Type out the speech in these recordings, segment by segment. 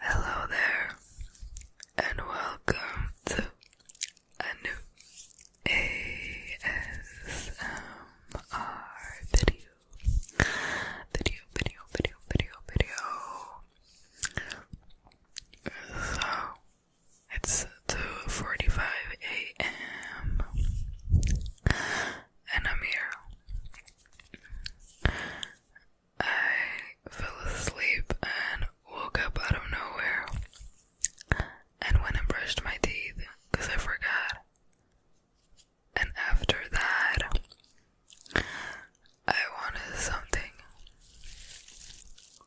Hello there, and welcome to a new ASMR video. Video, video, video, video, video. So it's 2:45 a.m. and I'm here. I fell asleep and woke up out of nowhere and went and brushed my teeth because I forgot. And after that, I wanted something.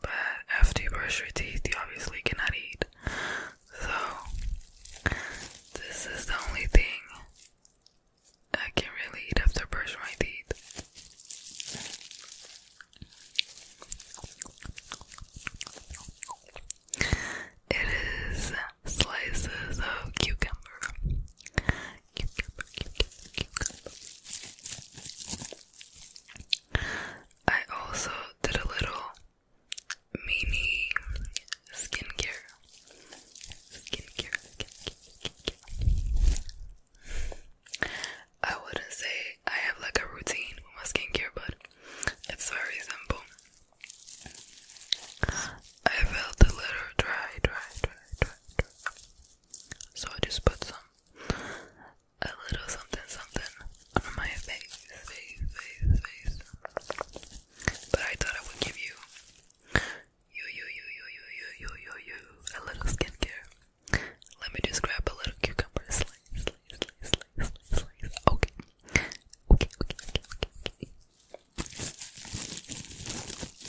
But after you brush your teeth, you obviously cannot eat. So, this is the only thing I can really eat after brushing my teeth. It is slices of cucumber. I also did a little mini skincare. skincare, skincare. I wouldn't say I have like a routine with my skincare, but it's very simple. I felt a little dry, dry, dry, dry, dry. So I just put some, a little something something on my face, face, face, face. But I thought I would give you, you, you, you, you, you, you, you, you, you, a little skincare. Let me just grab a little cucumber slice, slice, slice, slice, slice, slice. Okay, okay, okay, okay, okay.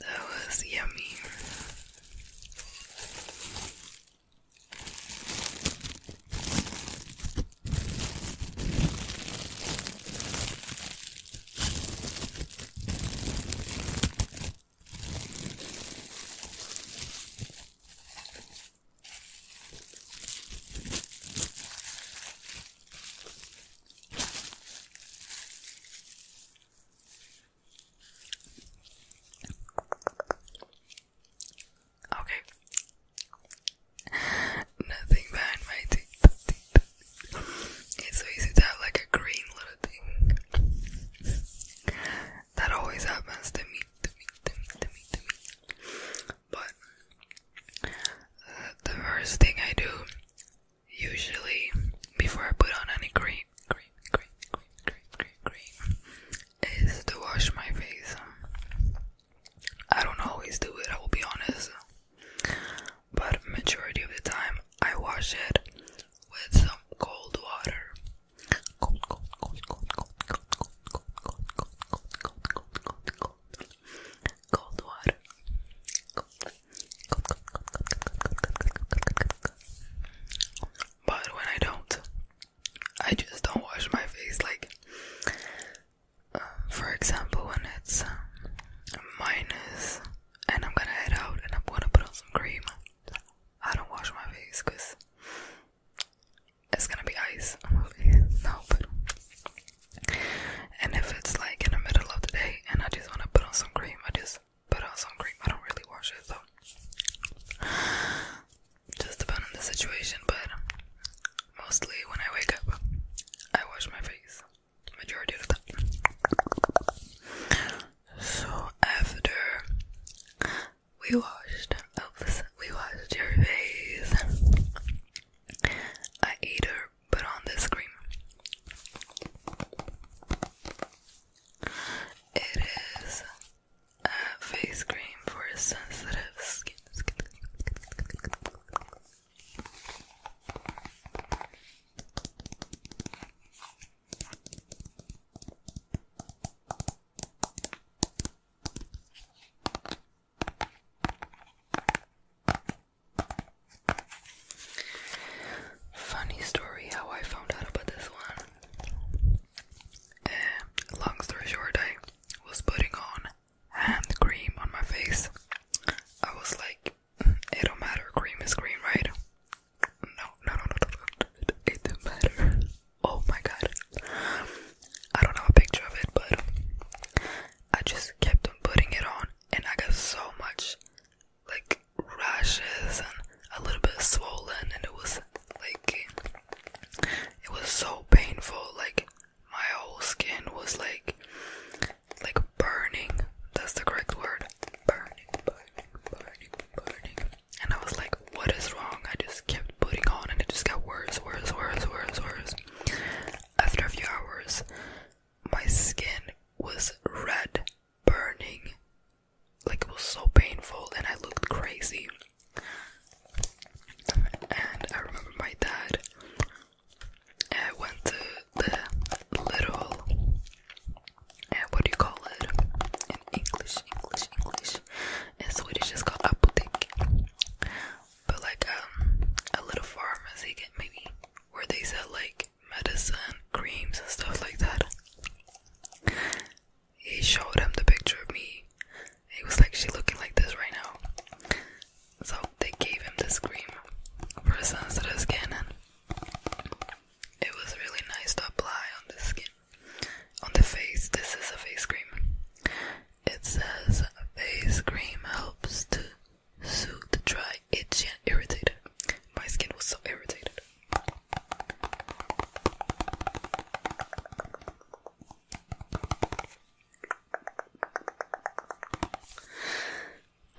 That was yummy. Okay. Nothing behind my teeth. It's so easy to have like a green little thing. That always happens to me, But uh, the first thing I do Usually, before I put on any cream, cream, cream, cream, cream, cream, cream, is to wash my face. I don't always do it, I will be honest, but majority of the time I wash it with some cold water. Cold, cold, cold, cold, cold, cold, cold, cold, cold, cold, cold, cold, cold, cold, cold, cold water. Cold, but when I don't, I just don't wash my face. Like, uh, for example, when it's um, and I'm gonna head out and I'm gonna put on some cream, I don't wash my face because it's gonna be ice No, but. And if it's like in the middle of the day and I just want to put on some cream, I just but on cream. I don't really wash it, so just depend on the situation. But mostly when I wake up, I wash my face. Majority of the time. So after we washed, oops, we washed your face. I ate her put on this screen. It is a face cream for sensitive skin. Funny story how I found out about this one. Uh, long story short, I was putting on hand cream on my face. I was like, mm, it don't matter, cream is cream, right? No, no, no, no, no, no. it don't matter. Oh my god. I don't have a picture of it, but I just kept on putting it on, and I got so much like rashes and a little bit swollen and it was like it was so painful like my whole skin was like like burning that's the correct word burning burning burning burning and I was like what is wrong I just kept putting on and it just got worse worse worse worse worse after a few hours my skin was red, burning. Like it was so painful, and I looked crazy. And I remember my dad. I eh, went to the little, uh, what do you call it in English? English, English. and Swedish, it's called apotek. But like um, a little pharmacy, maybe, where they sell like medicine, creams, and stuff like that. He showed him the picture of me. He was actually looking like this right now. So they gave him this cream for sensitive skin, and it was really nice to apply on the skin. On the face, this is a face cream. It says face cream helps to soothed, dry, itchy, and irritated. My skin was so irritated.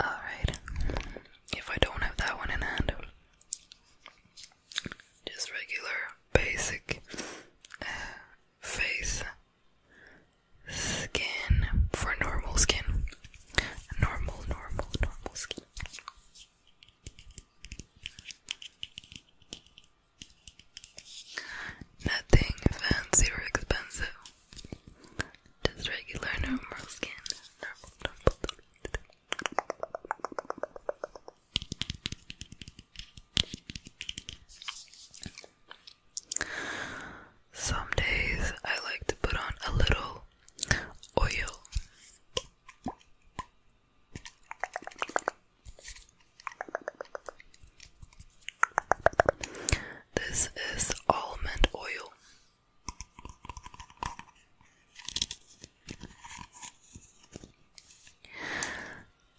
Alright, if I don't have that one in hand, just regular, basic uh, skin for normal skin. Normal, normal, normal skin. Nothing fancy or expensive. Just regular normal skin. Normal, normal, normal. Some days I like to put on a little oil. This is almond oil.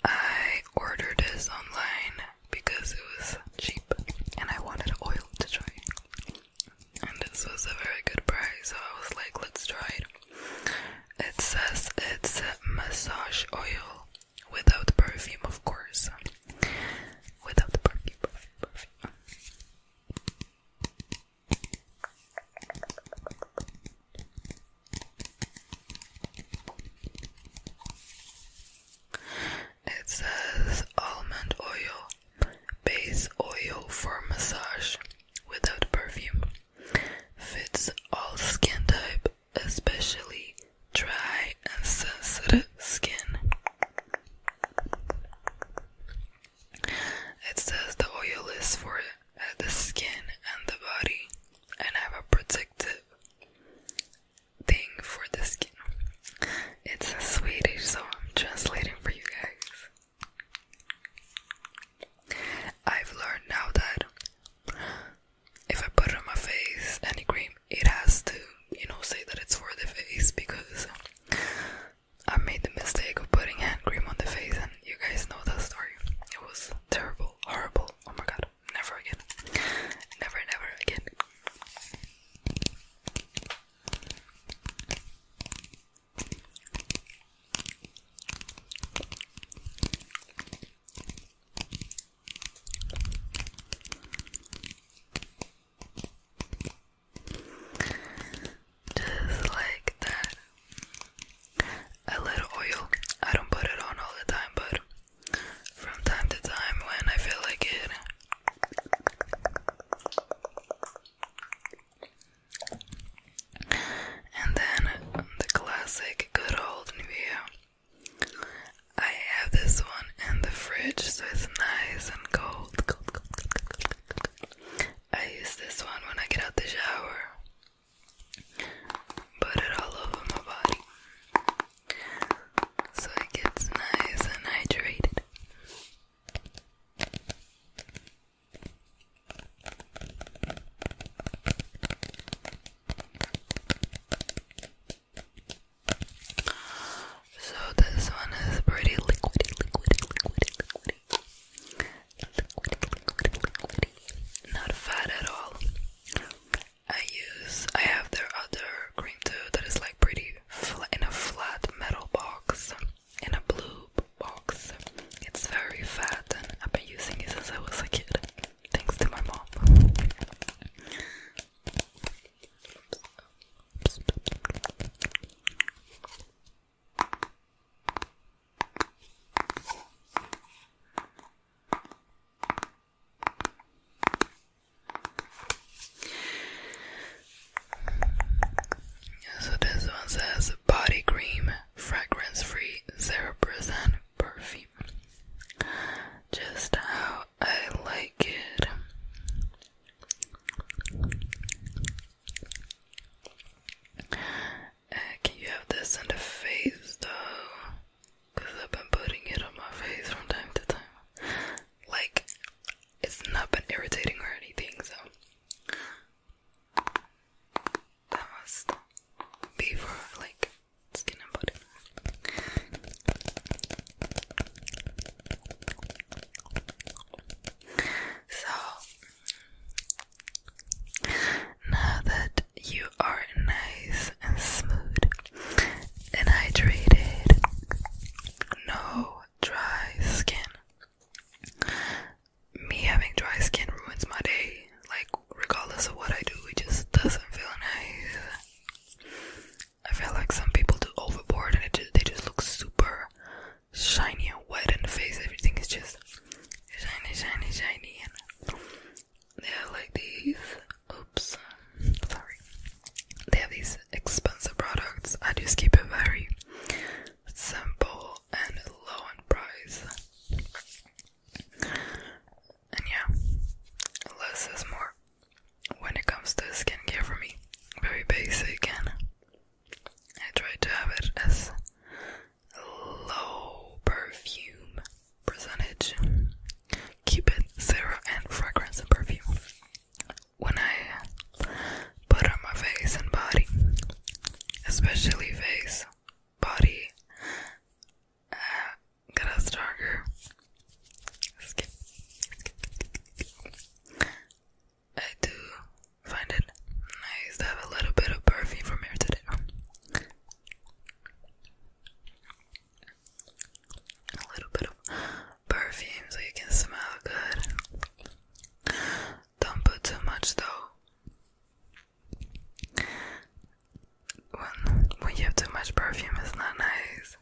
I ordered this online because it was cheap and I wanted oil to try. And this was a very good price, so I was like, let's try it. It says it's massage oil without perfume, of course. Without perfume. It says almond oil, base oil for massage without perfume. Fits all skin type, especially dry and sensitive skin. It says the oil is for the skin and the body and have a protective thing for the skin. It's a Swedish, song. I'm translating for you guys. I've learned now that if I put on my face any cream, it has to, you know, say that it's for the face because I made the mistake of putting hand cream on the face, and you guys know that story. It was terrible, horrible. Oh my god, never again. Never, never again. Just like that. A little oil. I don't put it on all the time, but from time to time when I feel like it, and then the classic good old Nivea. I have this one in the fridge so it's nice and cold. I use this one when I get out the shower. Put it all over my body so it gets nice and hydrated. So this one is pretty liquidy, liquidy, liquidy, liquidy. Liquidy, liquidy, liquidy. Not fat at all. I use, I have their other cream too that is like pretty in a flat metal box, in a blue box. It's very fat and I've been using it since I was a kid, thanks to my mom. So this one says body cream, fragrance free, zero percent perfume. Just how I like it. Uh, can you have this on the face though? because I've been putting it on my face from time to time. Like, it's not been irritating or anything, so that was be for like skin and body. So now that you are nice and smooth and hydrated. No dry skin. Me having dry skin ruins my day. Like, regardless of what I do, it just doesn't feel nice. I feel like some people do overboard and it just, they just look super shiny and wet in the face. Everything is just shiny, shiny, shiny. And they are like these Oops, sorry. They have these expensive products. I just keep it very simple and low in price. And yeah, less is more when it comes to skin care for me. Very basic, and I try to have it as low perfume percentage keep it zero and fragrance and perfume. When I put on my face and body, especially face, body, uh, a stronger skin. I do find it nice to have a little bit of perfume from here today a little bit of perfume so you can smell good. Don't put too much though. When when you have too much perfume, it's not nice.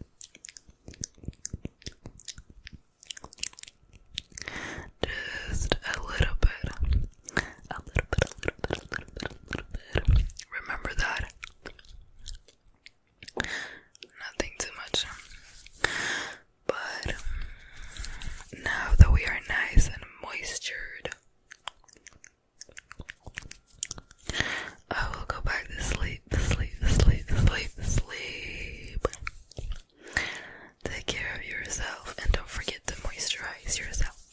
Just a little bit, a little bit, a little bit, a little bit, a little bit. Remember that nothing too much. But now that we are nice and moistured, I will go back to sleep, sleep, sleep, sleep, sleep. Take care of yourself and don't forget to moisturize yourself.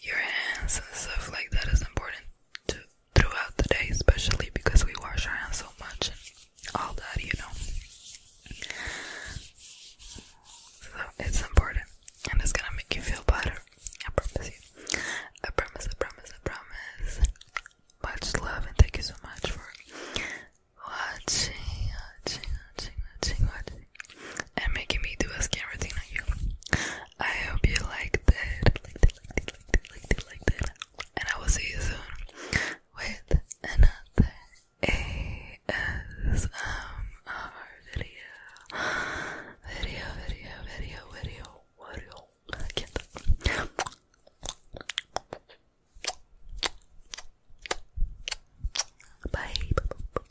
Your hands and stuff like that is important to throughout the day, especially because we wash our hands so much and all that, you know. So it's important and it's gonna make you feel better. I promise you. I promise, I promise, I promise. Much love and thank you so much for watching, watching, watching, watching, watching, and making me do a skin routine on you. I hope you liked it. And I will see you soon with another ASMR video. Video, video, video, video, video. I can't. Bye.